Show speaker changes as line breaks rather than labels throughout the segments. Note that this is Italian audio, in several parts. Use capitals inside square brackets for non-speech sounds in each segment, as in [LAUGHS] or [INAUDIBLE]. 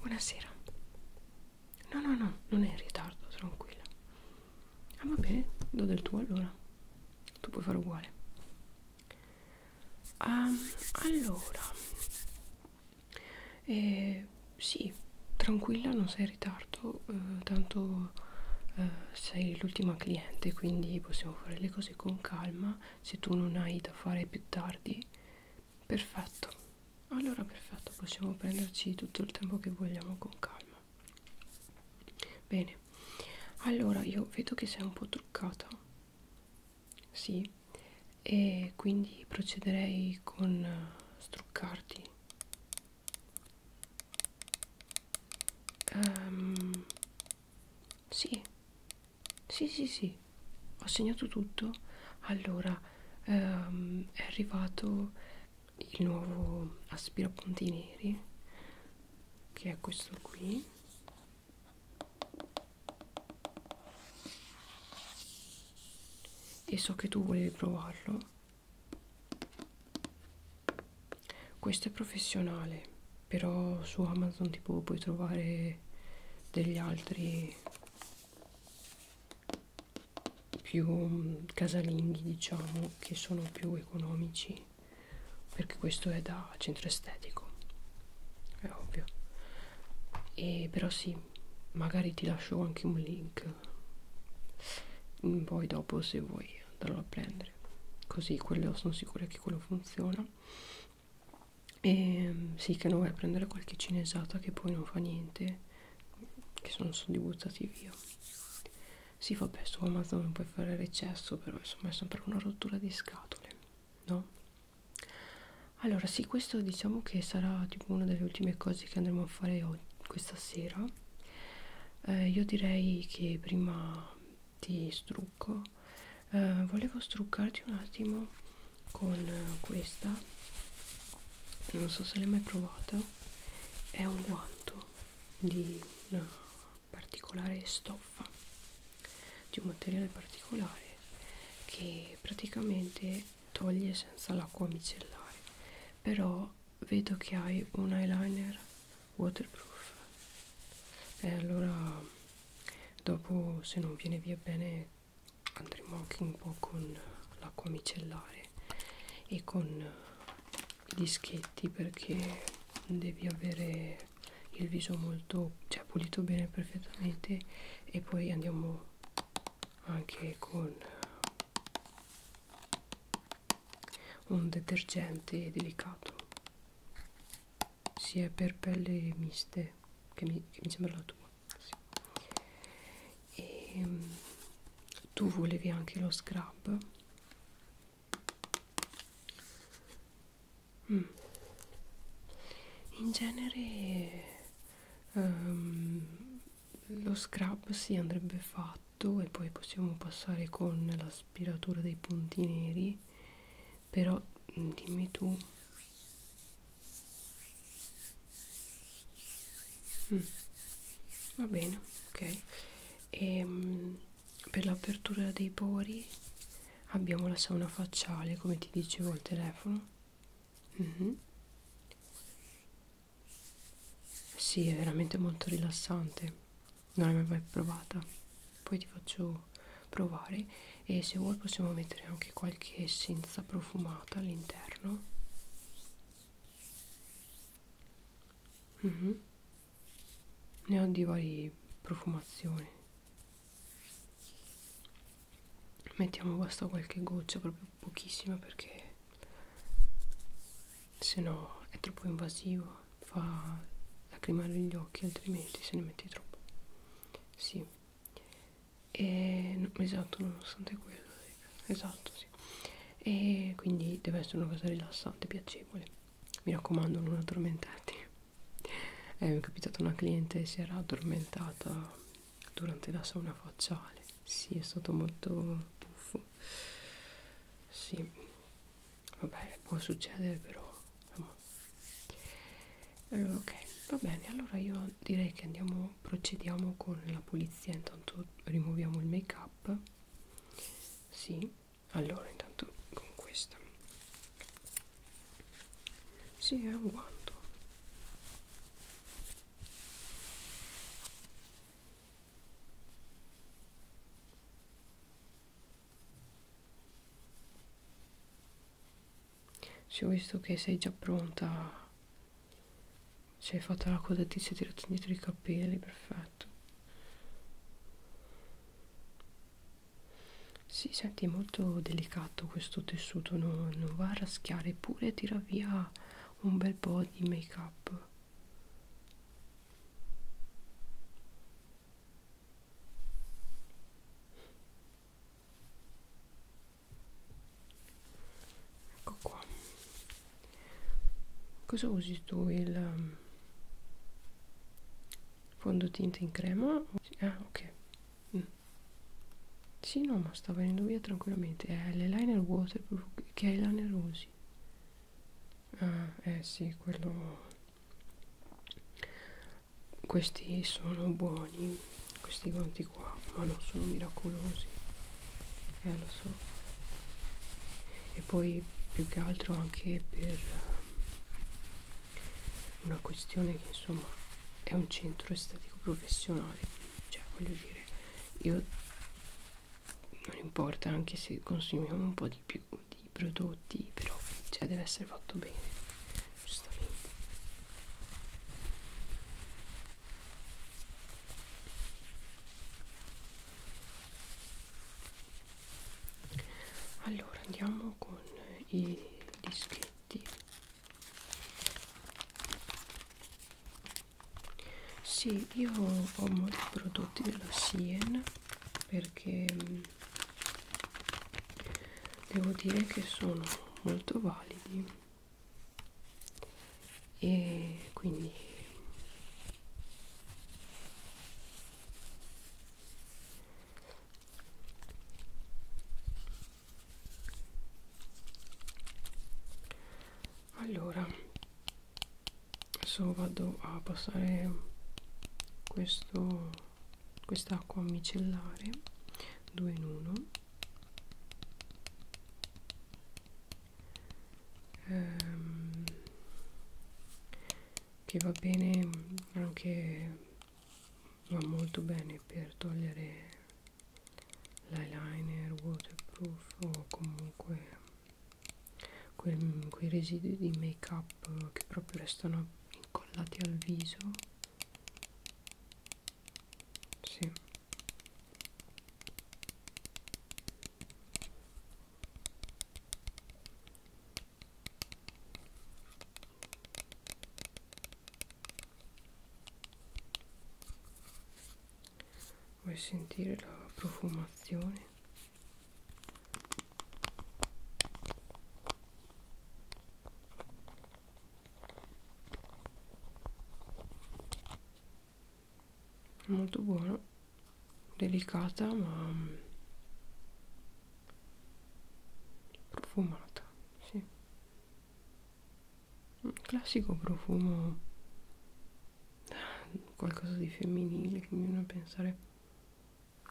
Buonasera. No, no, no, non è in ritardo, tranquilla. Ah, va bene, do del tuo allora. Tu puoi fare uguale. Um, allora, eh, sì, tranquilla, non sei in ritardo, eh, tanto eh, sei l'ultima cliente, quindi possiamo fare le cose con calma, se tu non hai da fare più tardi, perfetto, allora perfetto, possiamo prenderci tutto il tempo che vogliamo con calma. Bene, allora io vedo che sei un po' truccata, sì, e quindi procederei con eh, struccarti Um, sì, sì, sì, sì, ho segnato tutto. Allora, um, è arrivato il nuovo aspirapunti neri, che è questo qui. E so che tu volevi provarlo questo è professionale però su amazon tipo puoi trovare degli altri più mm, casalinghi diciamo che sono più economici perché questo è da centro estetico è ovvio e però sì magari ti lascio anche un link poi dopo se vuoi andarlo a prendere così quello sono sicura che quello funziona e ehm, sì che non vai a prendere qualche cinesata che poi non fa niente che sono stati buttati via sì vabbè su Amazon non puoi fare recesso però insomma è sempre una rottura di scatole no? allora sì questo diciamo che sarà tipo una delle ultime cose che andremo a fare oggi questa sera eh, io direi che prima ti strucco eh, volevo struccarti un attimo con eh, questa non so se l'hai mai provata è un guanto di una particolare stoffa di un materiale particolare che praticamente toglie senza l'acqua micellare però vedo che hai un eyeliner waterproof e allora dopo se non viene via bene andremo anche un po' con l'acqua micellare e con i dischetti perché devi avere il viso molto cioè pulito bene perfettamente e poi andiamo anche con un detergente delicato sia per pelli miste che mi, che mi sembra la tua sì. e ehm, tu volevi anche lo scrub mm. in genere um, lo scrub si sì, andrebbe fatto e poi possiamo passare con l'aspiratura dei punti neri però mm, dimmi tu mm. va bene ok e um, per l'apertura dei pori abbiamo la sauna facciale come ti dicevo al telefono mm -hmm. Sì, è veramente molto rilassante. Non l'hai mai provata. Poi ti faccio provare e se vuoi possiamo mettere anche qualche essenza profumata all'interno. Mm -hmm. Ne ho di varie profumazioni. Mettiamo basta qualche goccia proprio pochissima perché se no è troppo invasivo fa lacrimare gli occhi altrimenti se ne metti troppo sì e, no, esatto nonostante quello esatto sì e quindi deve essere una cosa rilassante piacevole mi raccomando non addormentarti [LAUGHS] eh, mi è capitata una cliente si era addormentata durante la sauna facciale sì è stato molto buffo sì, vabbè, può succedere però. Allora, ok, va bene, allora io direi che andiamo, procediamo con la pulizia, intanto rimuoviamo il make up. Sì, allora intanto con questa. Sì, è un guanto. Ci ho visto che sei già pronta. Ci hai fatto la codatrice e tirato indietro i capelli, perfetto. Si senti molto delicato questo tessuto, non, non va a raschiare, eppure tira via un bel po' di make up ecco qua cosa usi tu il um, fondotinta in crema ah ok mm. sì no ma sta venendo via tranquillamente è l'eyeliner waterproof che eyeliner usi dici? Ah, eh sì, quello... Questi sono buoni, questi guanti qua, ma non sono miracolosi. Eh, lo so. E poi, più che altro, anche per una questione che, insomma, è un centro estetico professionale. Cioè, voglio dire, io non importa anche se consumiamo un po' di più di prodotti però cioè deve essere fatto bene giustamente allora andiamo con i dischetti sì, io ho molti prodotti della Sien perché devo dire che sono molto validi e quindi allora adesso vado a passare questo quest'acqua micellare 2 in 1 ehm, che va bene anche va molto bene per togliere l'eyeliner waterproof o comunque quel, quei residui di make up che proprio restano incollati al viso sì vuoi sentire la profumazione molto buona delicata ma mm, profumata sì. un classico profumo qualcosa di femminile che mi viene a pensare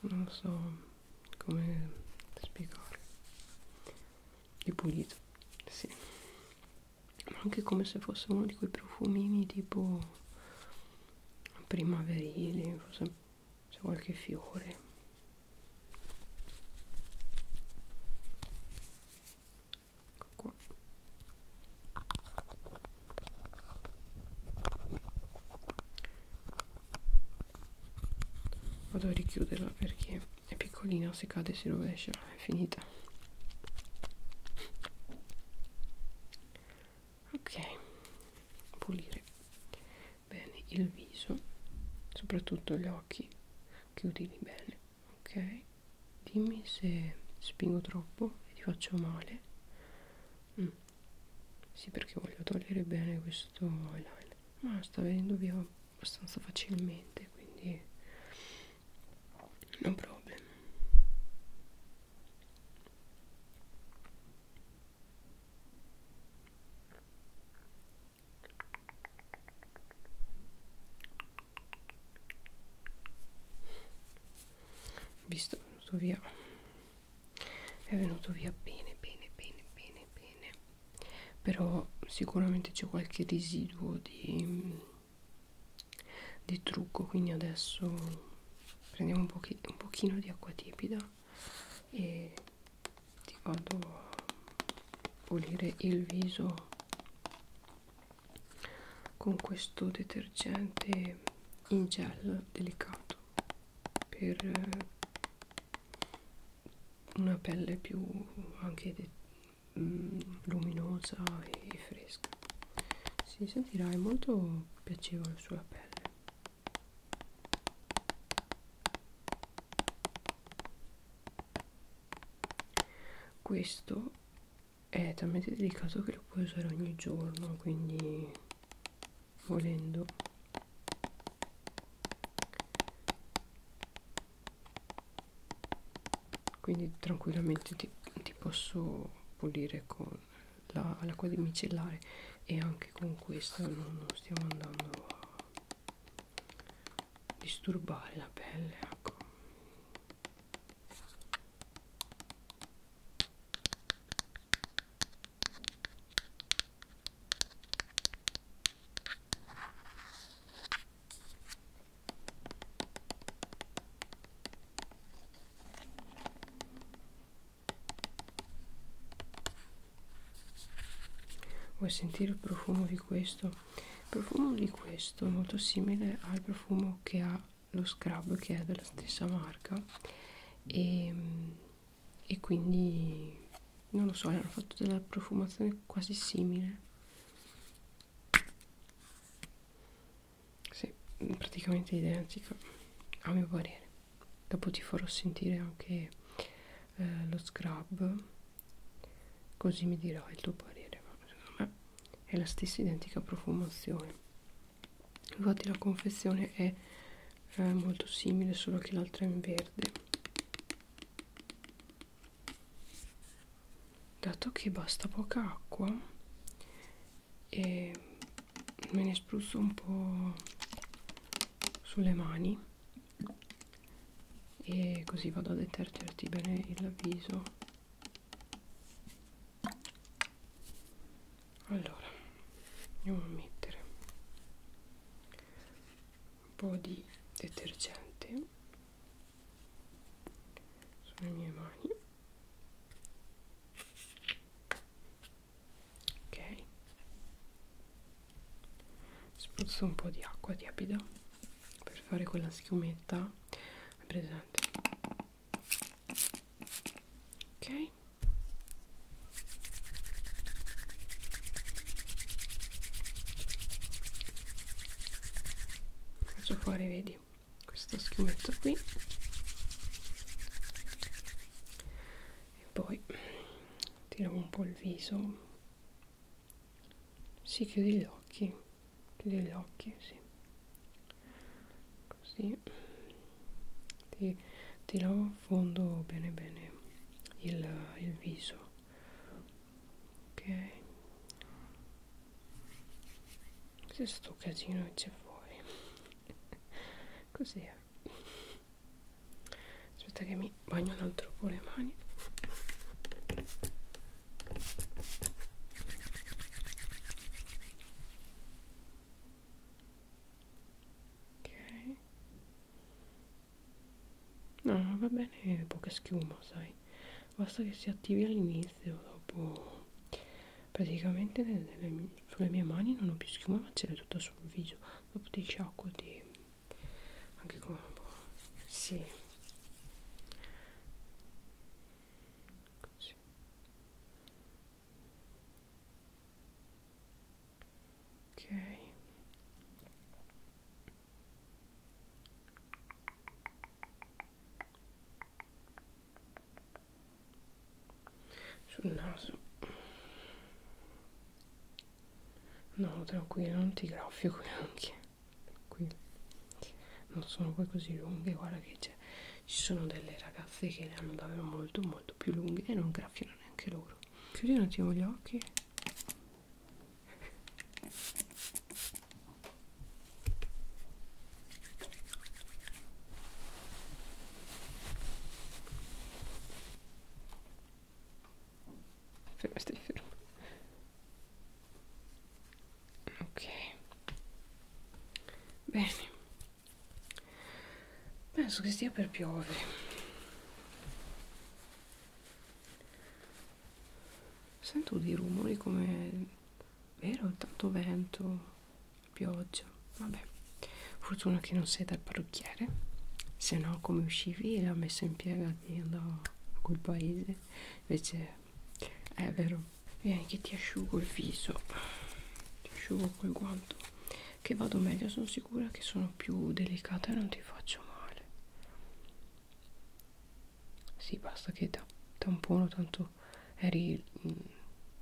non so come spiegare di pulito sì ma anche come se fosse uno di quei profumini tipo primaverili forse c'è qualche fiore Ecco qua. Vado a richiuderla perché è piccolina, se cade si rovescia, è finita. Ok, pulire bene il viso, soprattutto gli occhi, chiudili bene, ok? dimmi se spingo troppo e ti faccio male mm. sì perché voglio togliere bene questo eyeliner ma sta venendo via abbastanza facilmente quindi no problem visto è venuto via è venuto via bene bene bene bene bene però sicuramente c'è qualche residuo di, di trucco quindi adesso prendiamo un, pochi, un pochino di acqua tiepida e ti vado a pulire il viso con questo detergente in gel delicato per eh, una pelle più anche mm, luminosa e fresca si sentirà è molto piacevole sulla pelle questo è talmente delicato che lo puoi usare ogni giorno quindi volendo quindi tranquillamente ti, ti posso pulire con l'acqua la, di micellare e anche con questa non, non stiamo andando a disturbare la pelle ecco Vuoi sentire il profumo di questo? Il profumo di questo è molto simile al profumo che ha lo scrub che è della stessa marca e, ehm, e quindi non lo so hanno fatto della profumazione quasi simile sì, praticamente identica a mio parere dopo ti farò sentire anche eh, lo scrub così mi dirai il tuo parere ma secondo me è la stessa identica profumazione infatti la confezione è eh, molto simile solo che l'altra è in verde dato che basta poca acqua e me ne spruzzo un po' sulle mani e così vado a detergerti bene il viso allora andiamo a mettere un po' di detergente sulle mie mani ok spruzzo un po' di acqua tiepida per fare quella schiumetta presente ok faccio fuori vedi questo schiumetto qui e poi ti lavo un po' il viso si chiudi gli occhi chiudi gli occhi, sì. Così ti, ti lavo a fondo bene bene il, il viso. Ok. Cos'è sto casino che c'è fuori? [LAUGHS] Così è. Aspetta che mi bagno un altro po' le mani ok no va bene poca schiuma sai basta che si attivi all'inizio dopo praticamente nelle, nelle, sulle mie mani non ho più schiuma ma ce l'è tutta sul viso dopo ti sciacquo di anche con sì così ok sul naso no tranquillo non ti graffio neanche qui non sono poi così lunghe guarda che invece cioè, ci sono delle ragazze che le hanno davvero molto molto più lunghe e non graffiano neanche loro chiudi un attimo gli occhi fermo stai fermo ok bene penso che stia per piovere sento dei rumori come vero tanto vento pioggia vabbè fortuna che non sei dal parrucchiere se no come uscivi la messa in piega da quel paese invece eh, è vero vieni che ti asciugo il viso ti asciugo col guanto che vado meglio sono sicura che sono più delicata e non ti faccio male sì basta che da tampono tanto eri mh, mm,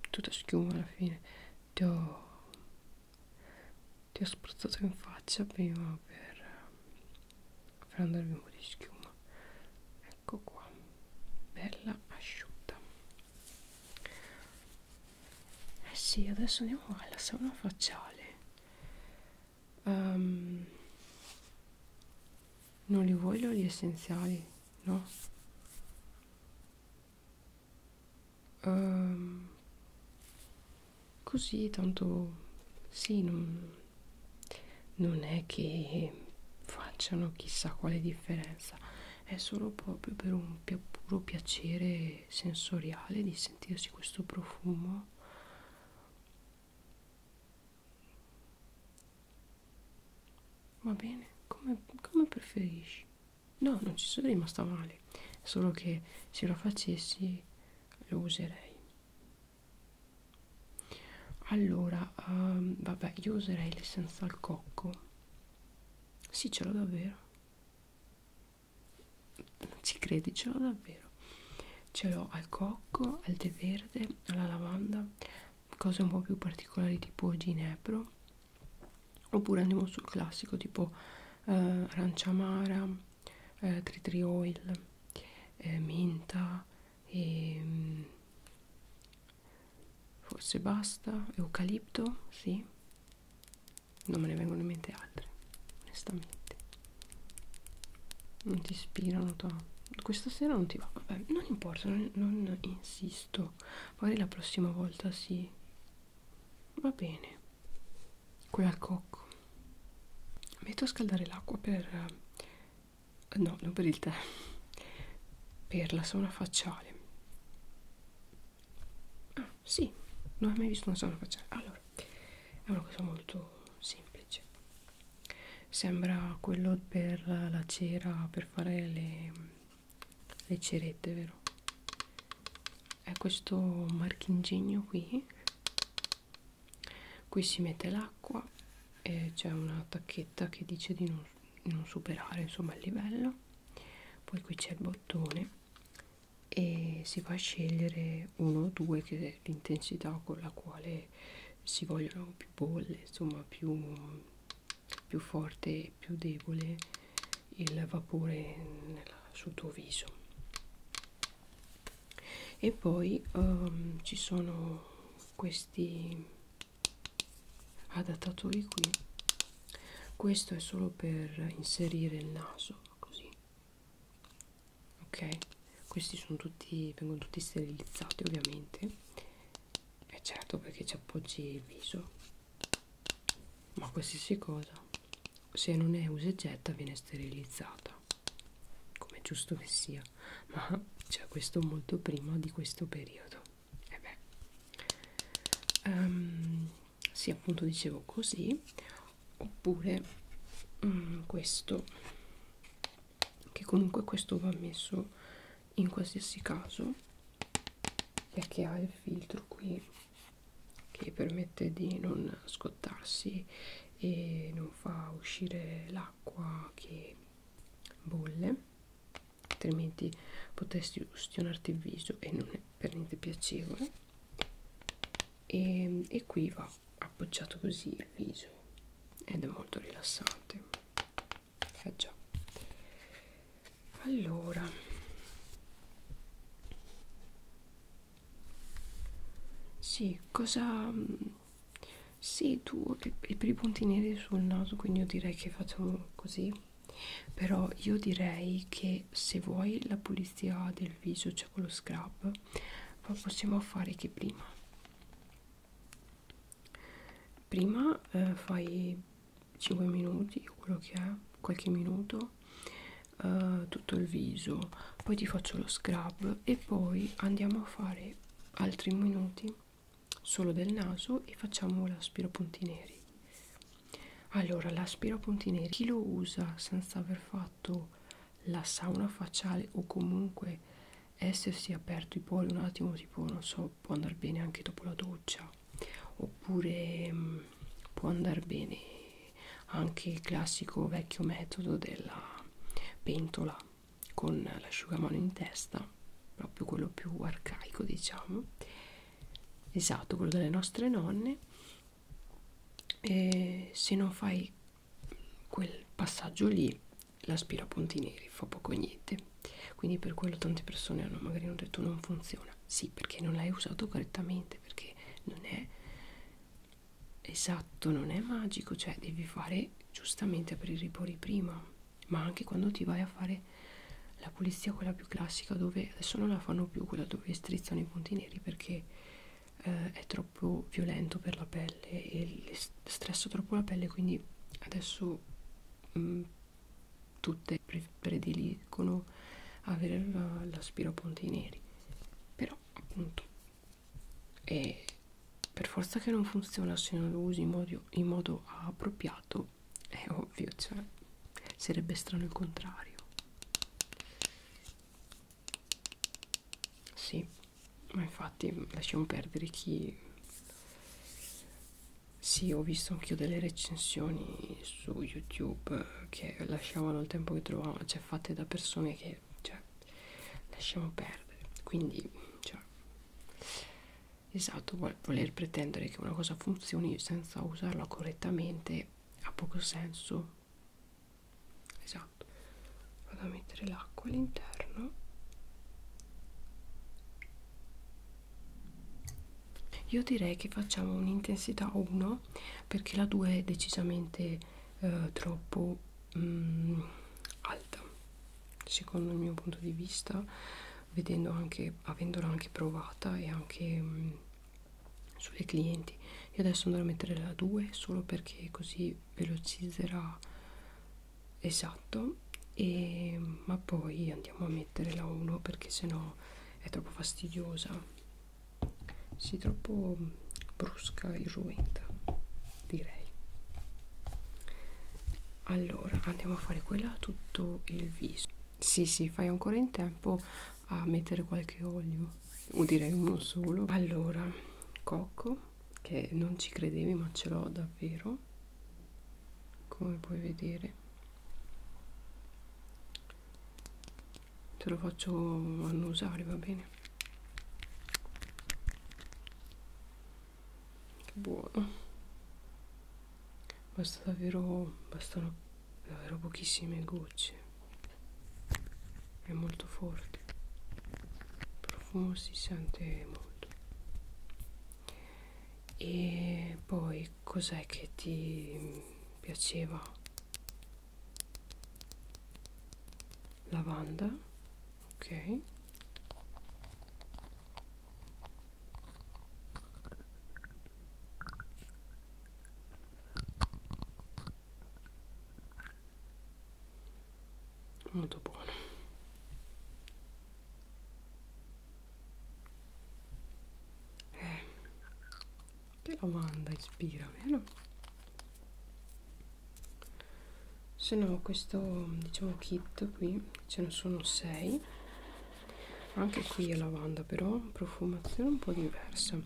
tutta schiuma alla fine ti ho ti ho spruzzato in faccia prima per, per andarvi un po' di schiuma ecco qua bella asciutta eh sì adesso andiamo alla sauna facciale um, non li vuoi gli essenziali no um, così tanto sì non, non è che facciano chissà quale differenza è solo proprio per un puro piacere sensoriale di sentirsi questo profumo va bene come, come preferisci no non ci sono rimasta male solo che se lo facessi lo userei allora um, vabbè io userei l'essenza al cocco sì, ce l'ho davvero. Ci credi, ce l'ho davvero. Ce l'ho al cocco, al tè verde, alla lavanda, cose un po' più particolari tipo ginepro. Oppure andiamo sul classico tipo eh, arancia amara, eh, tree oil, eh, menta e ehm, forse basta eucalipto sì non me ne vengono in mente altre onestamente non ti ispirano to. questa sera non ti va vabbè non importa non, non insisto magari la prossima volta sì va bene quella al cocco metto a scaldare l'acqua per eh, no non per il tè per la sauna facciale Ah, sì, non ho mai visto una sana facciata. Allora, è una cosa molto semplice. Sembra quello per la cera, per fare le, le cerette, vero? È questo marchingegno qui. Qui si mette l'acqua e c'è una tacchetta che dice di non non superare insomma il livello poi qui c'è il bottone e si va a scegliere uno o due che è l'intensità con la quale si vogliono più bolle insomma più, più forte e più debole il vapore nella, sul tuo viso e poi um, ci sono questi adattatori qui questo è solo per inserire il naso così ok questi sono tutti vengono tutti sterilizzati ovviamente e eh, certo perché ci appoggi il viso ma qualsiasi cosa se non è usa e getta viene sterilizzata come è giusto che sia ma c'è questo molto prima di questo periodo e eh beh um, sì appunto dicevo così oppure um, questo che comunque questo va messo in qualsiasi caso perché ha il filtro qui che permette di non scottarsi e non fa uscire l'acqua che bolle altrimenti potresti ustionarti il viso e non è per niente piacevole e, ehm, e qui va appoggiato così il viso ed è molto rilassante eh già allora sì cosa mm, sì tu e per i punti neri sul naso quindi io direi che facciamo così però io direi che se vuoi la pulizia del viso cioè con lo scrub lo possiamo fare che prima prima eh, fai 5 minuti quello che è qualche minuto eh, tutto il viso poi ti faccio lo scrub e poi andiamo a fare altri minuti solo del naso e facciamo l'aspiro punti neri allora l'aspiro punti neri chi lo usa senza aver fatto la sauna facciale o comunque essersi aperto i poli un attimo tipo non so può andare bene anche dopo la doccia oppure mh, mm, può andare bene anche il classico vecchio metodo della pentola con l'asciugamano in testa proprio quello più arcaico diciamo esatto quello delle nostre nonne e se non fai quel passaggio lì l'aspirapunti neri fa poco niente quindi per quello tante persone hanno magari hanno detto non funziona sì perché non l'hai usato correttamente perché non è esatto non è magico cioè devi fare giustamente aprire i pori prima ma anche quando ti vai a fare la pulizia quella più classica dove adesso non la fanno più quella dove strizzano i punti neri perché eh, è troppo violento per la pelle e stressa troppo la pelle quindi adesso mh, mm, tutte pre prediligono avere l'aspiro la, a punti neri però appunto è per forza che non funziona se non lo usi in modo, in modo appropriato è ovvio, cioè sarebbe strano il contrario. Sì, ma infatti lasciamo perdere chi... Sì, ho visto anch'io delle recensioni su YouTube che lasciavano il tempo che trovavano, cioè fatte da persone che, cioè, lasciamo perdere. Quindi, cioè, Esatto, voler pretendere che una cosa funzioni senza usarla correttamente ha poco senso. Esatto. Vado a mettere l'acqua all'interno. Io direi che facciamo un'intensità 1 perché la 2 è decisamente eh, troppo mm, alta, secondo il mio punto di vista vedendo anche avendola anche provata e anche mh, mm, sulle clienti io adesso andrò a mettere la 2 solo perché così velocizzerà esatto e, ma poi andiamo a mettere la 1 perché sennò è troppo fastidiosa si troppo mm, brusca e ruenta direi allora andiamo a fare quella tutto il viso sì, sì, fai ancora in tempo a mettere qualche olio, o direi uno solo. Allora, cocco, che non ci credevi ma ce l'ho davvero, come puoi vedere. Te lo faccio annusare, va bene? Che buono basta davvero bastano davvero pochissime gocce è molto forte il profumo si sente molto e poi cos'è che ti piaceva lavanda ok molto buono eh, che lavanda ispira vero? se no questo diciamo kit qui ce ne sono 6 anche qui è lavanda però profumazione un po' diversa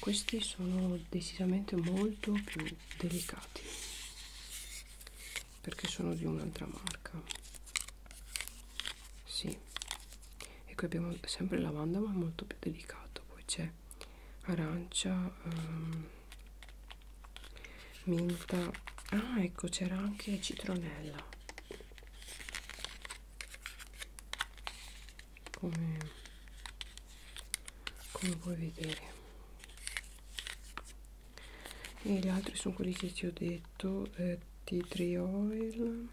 questi sono decisamente molto più delicati perché sono di un'altra marca sì e qui abbiamo sempre lavanda ma molto più delicato poi c'è arancia um, minta ah ecco c'era anche citronella come, come puoi vedere e gli altri sono quelli che ti ho detto eh, tea oil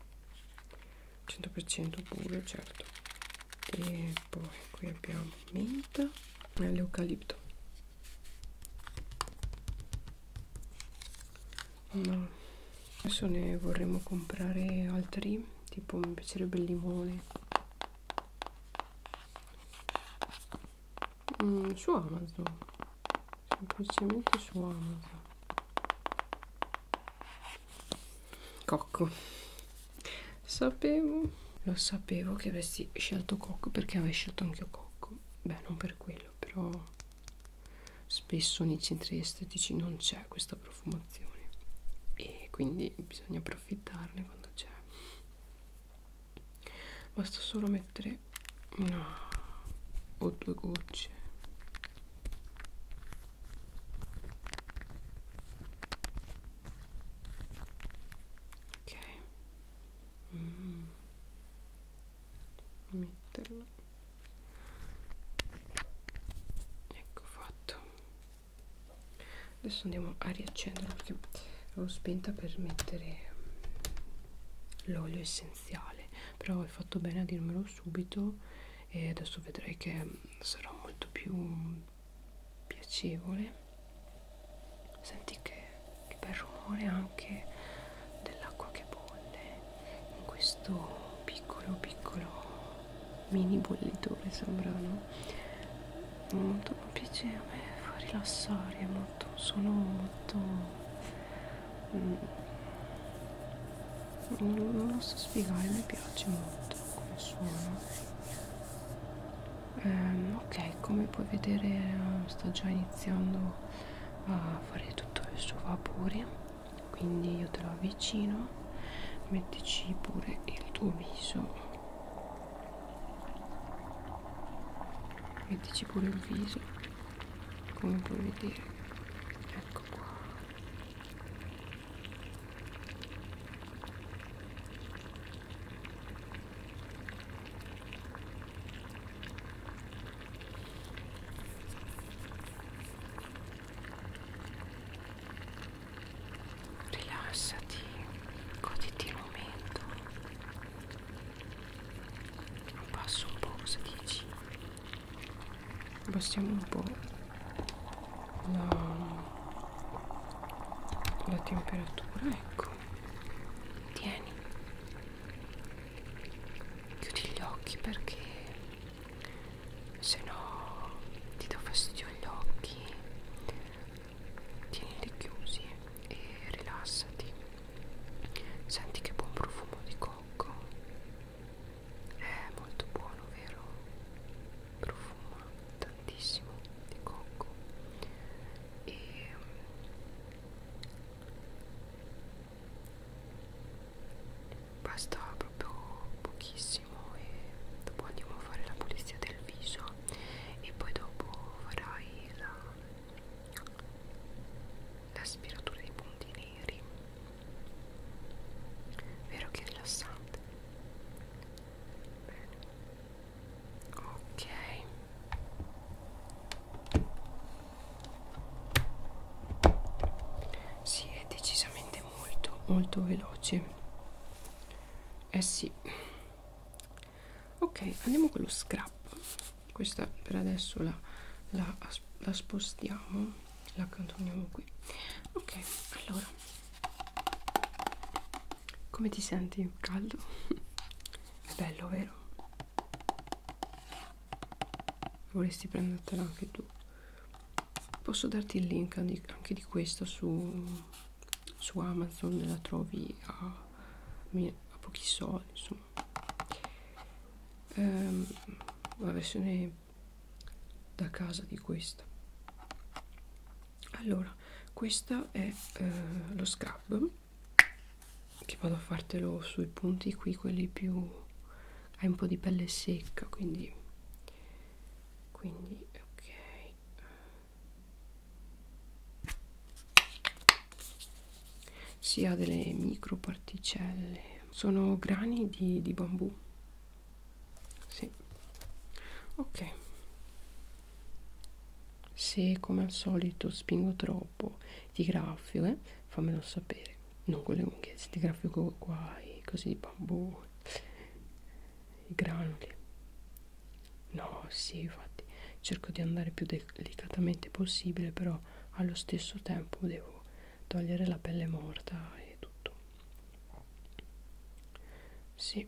100% puro certo e poi qui abbiamo menta e l'eucalipto no adesso ne vorremmo comprare altri tipo mi piacerebbe il limone mm, su amazon semplicemente su amazon cocco sapevo lo sapevo che avessi scelto cocco perché avevo scelto anche cocco beh non per quello però spesso nei centri estetici non c'è questa profumazione e quindi bisogna approfittarne quando c'è basta solo mettere una o due gocce ok mm metterlo ecco fatto adesso andiamo a riaccenderlo perché l'ho spenta per mettere l'olio essenziale però hai fatto bene a dirmelo subito e adesso vedrai che sarà molto più piacevole senti che, che bel rumore anche dell'acqua che bolle in questo piccolo piccolo mini bollitore sembrano è molto piacevole fa rilassare è molto un suono molto mm, non lo so spiegare mi piace molto come suono Um, ehm, ok, come puoi vedere eh, sto già iniziando a fare tutto il suo vapore quindi io te lo avvicino mettici pure il tuo viso mettici pure il viso come puoi vedere ecco qua rilassati goditi il momento un passo un po' cosa dici abbassiamo un po' la, la temperatura ecco tieni chiudi gli occhi perché se no ti do fastidio agli occhi tienili chiusi e rilassati senti che buon profumo di cocco è molto buono vero profuma tantissimo di cocco e basta proprio pochissimo e dopo andiamo a fare la pulizia del viso e poi dopo farai la l'aspiratura dei punti neri vero che rilassante bene ok si è decisamente molto molto veloce eh sì ok andiamo con lo scrap questa per adesso la, la, la spostiamo la accantoniamo qui ok allora come ti senti caldo [LAUGHS] è bello vero vorresti prendertela anche tu posso darti il link anche di questa su, su amazon la trovi a, a pochi soldi insomma ehm, la versione da casa di questa allora questo è eh, lo scrub che vado a fartelo sui punti qui quelli più hai un po' di pelle secca quindi quindi ok si ha delle microparticelle sono grani di, di bambù sì ok se come al solito spingo troppo ti graffio eh fammelo sapere non con le unghie ti grafico qua i cosi di bambù i granuli no sì infatti cerco di andare più delicatamente possibile però allo stesso tempo devo togliere la pelle morta e tutto sì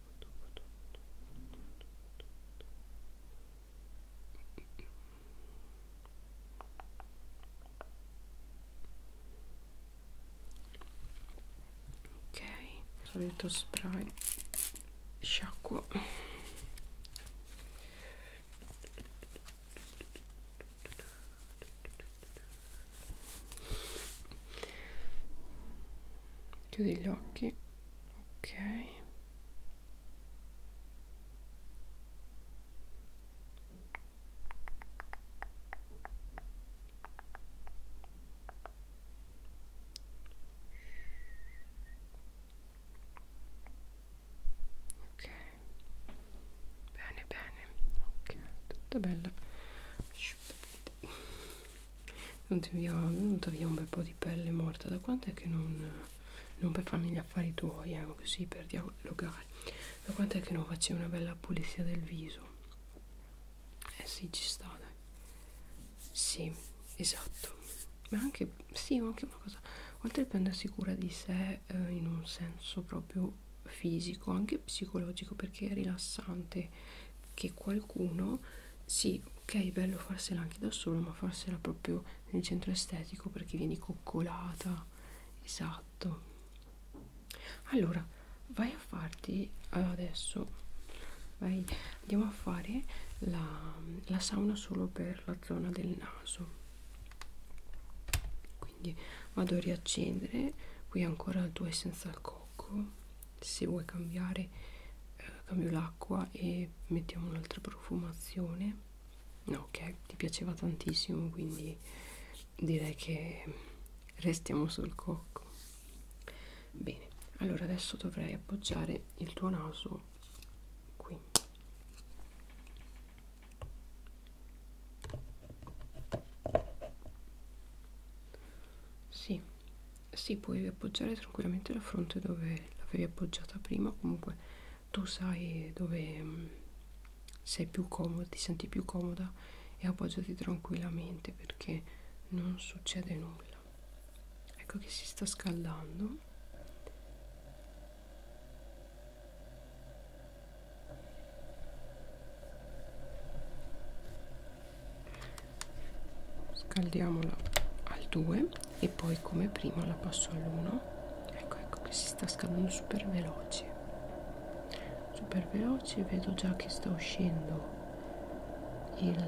ok solito spray sciacquo chiudi gli occhi ok ok bene bene ok tutto bello Via, è venuta via un bel po' di pelle morta. Da quanto è che non, non per farmi gli affari tuoi, eh, così per dialogare, da quanto è che non facevi una bella pulizia del viso? Eh sì, ci sta, dai. Sì, esatto. Ma anche, sì, anche una cosa, oltre a prendersi cura di sé eh, in un senso proprio fisico, anche psicologico, perché è rilassante che qualcuno sì ok bello farsela anche da solo ma farsela proprio nel centro estetico perché vieni coccolata esatto allora vai a farti eh, adesso vai andiamo a fare la, la sauna solo per la zona del naso quindi vado a riaccendere qui ancora due senza il cocco se vuoi cambiare eh, cambio l'acqua e mettiamo un'altra profumazione no che ti piaceva tantissimo quindi direi che restiamo sul cocco bene allora adesso dovrei appoggiare il tuo naso qui sì sì puoi appoggiare tranquillamente la fronte dove l'avevi appoggiata prima comunque tu sai dove mm, sei più comoda ti senti più comoda e appoggiati tranquillamente perché non succede nulla ecco che si sta scaldando scaldiamola al 2 e poi come prima la passo all'1 ecco ecco che si sta scaldando super veloce super veloce vedo già che sta uscendo il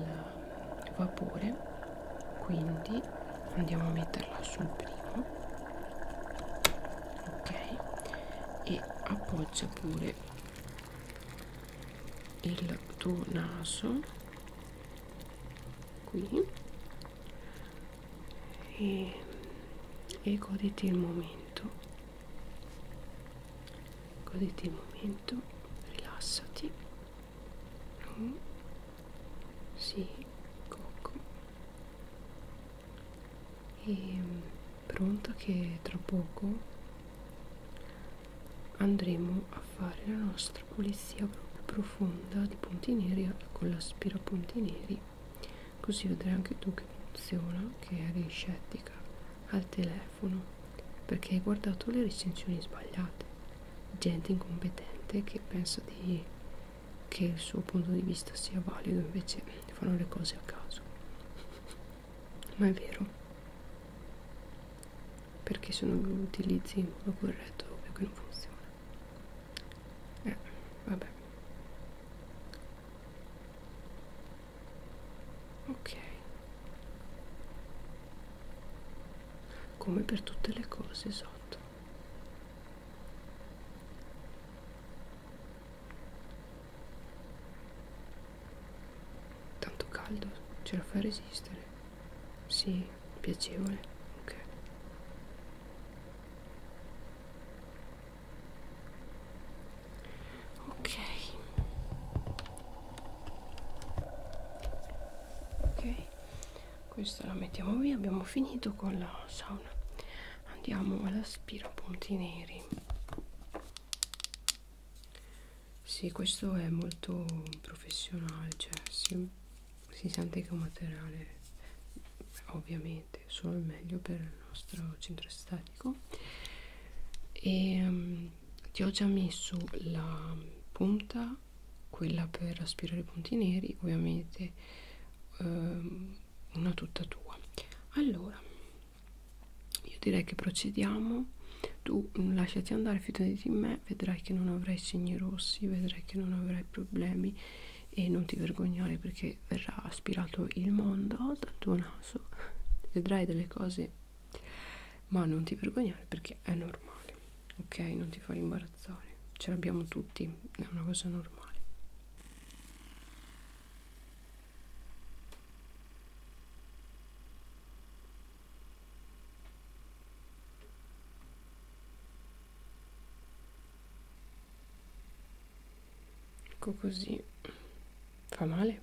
vapore quindi andiamo a metterla sul primo ok e appoggia pure il tuo naso qui e, e goditi il momento goditi il momento rilassati mm. sì cocco e ehm, pronto che tra poco andremo a fare la nostra pulizia proprio profonda di punti neri eh, con l'aspirapunti neri così vedrai anche tu che funziona che eri scettica al telefono perché hai guardato le recensioni sbagliate gente incompetente che pensa di che il suo punto di vista sia valido invece fanno le cose a caso [LAUGHS] ma è vero perché se non utilizzi in modo corretto ovvio che non funziona eh, vabbè ok come per tutte le cose sotto tanto caldo ce la fa resistere sì piacevole ok ok ok questa la mettiamo via abbiamo finito con la sauna andiamo all'aspirapunti neri sì, questo è molto professionale, cioè si, si sente che è un materiale ovviamente solo il meglio per il nostro centro estetico. E um, ti ho già messo la punta, quella per aspirare i punti neri, ovviamente um, una tutta tua. Allora, io direi che procediamo. Tu lasciati andare, fidati di me me vedrai che non avrai segni rossi, vedrai che non avrai problemi e non ti vergognare perché verrà aspirato il mondo dal tuo naso, vedrai delle cose, ma non ti vergognare perché è normale, ok? Non ti far imbarazzare, ce l'abbiamo tutti, è una cosa normale. Ecco così. Fa male?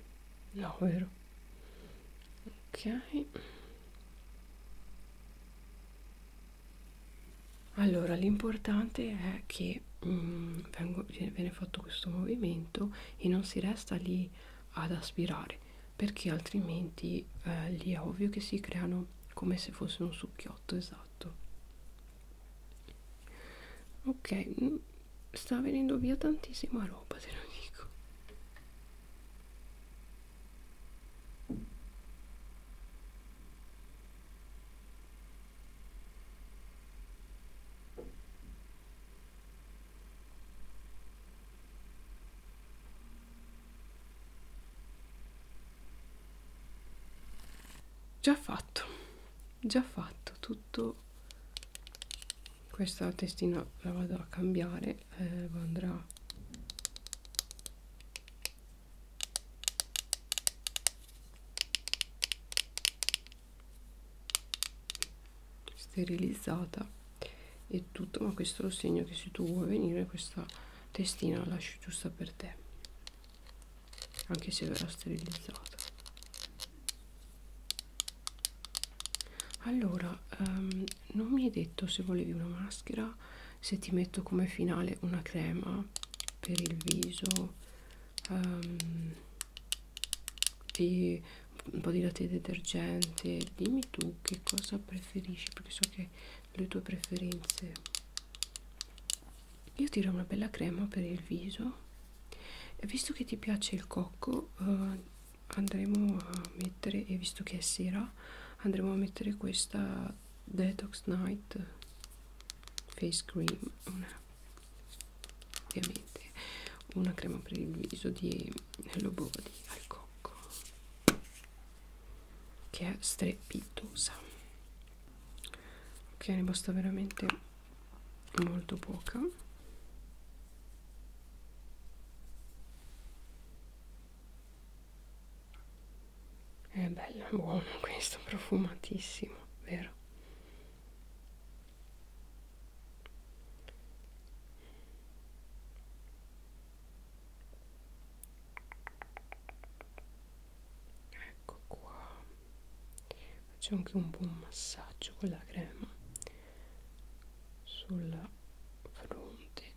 No, vero? Ok. Allora, l'importante è che mm, vengo, viene fatto questo movimento e non si resta lì ad aspirare perché altrimenti eh, lì è ovvio che si creano come se fosse un succhiotto esatto ok mm, sta venendo via tantissima roba te lo dico già fatto già fatto tutto questa testina la vado a cambiare eh, andrà sterilizzata e tutto ma questo lo segno che se tu vuoi venire questa testina la lascio giusta per te anche se verrà sterilizzata allora um, non mi hai detto se volevi una maschera se ti metto come finale una crema per il viso um, e un po' di latte detergente dimmi tu che cosa preferisci perché so che le tue preferenze io tiro una bella crema per il viso e visto che ti piace il cocco eh, andremo a mettere e visto che è sera andremo a mettere questa detox night face cream una, ovviamente una crema per il viso di hello body al cocco che è strepitosa ok ne basta veramente molto poca è bello buono questo profumatissimo vero ecco qua faccio anche un buon massaggio con la crema sulla fronte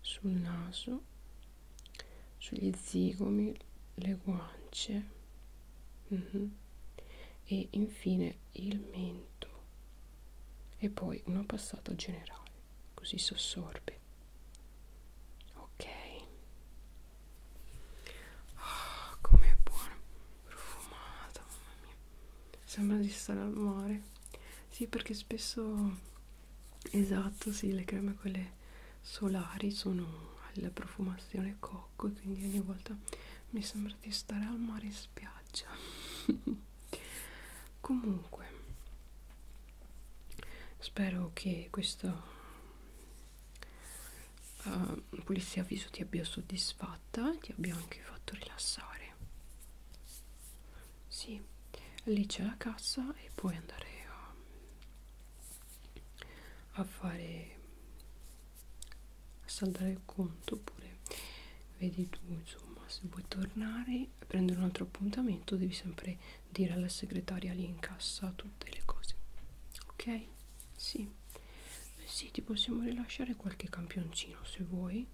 sul naso sugli zigomi le guance mm -hmm. e infine il mento e poi una passata generale così s'assorbe ok oh, com'è buona profumata mamma mia sembra di stare al mare sì perché spesso esatto sì le creme quelle solari sono alla profumazione cocco quindi ogni volta mi sembra di stare al mare in spiaggia [LAUGHS] comunque spero che questa uh, eh, pulizia viso ti abbia soddisfatta ti abbia anche fatto rilassare sì lì c'è la cassa e puoi andare a, a fare a saldare il conto oppure vedi tu insomma se vuoi tornare e prendere un altro appuntamento devi sempre dire alla segretaria lì in cassa tutte le cose ok sì sì ti possiamo rilasciare qualche campioncino se vuoi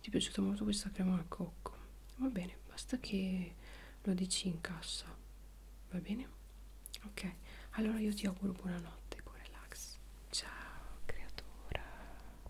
ti è piaciuta molto questa crema al cocco va bene basta che lo dici in cassa va bene ok allora io ti auguro buonanotte con relax ciao creatura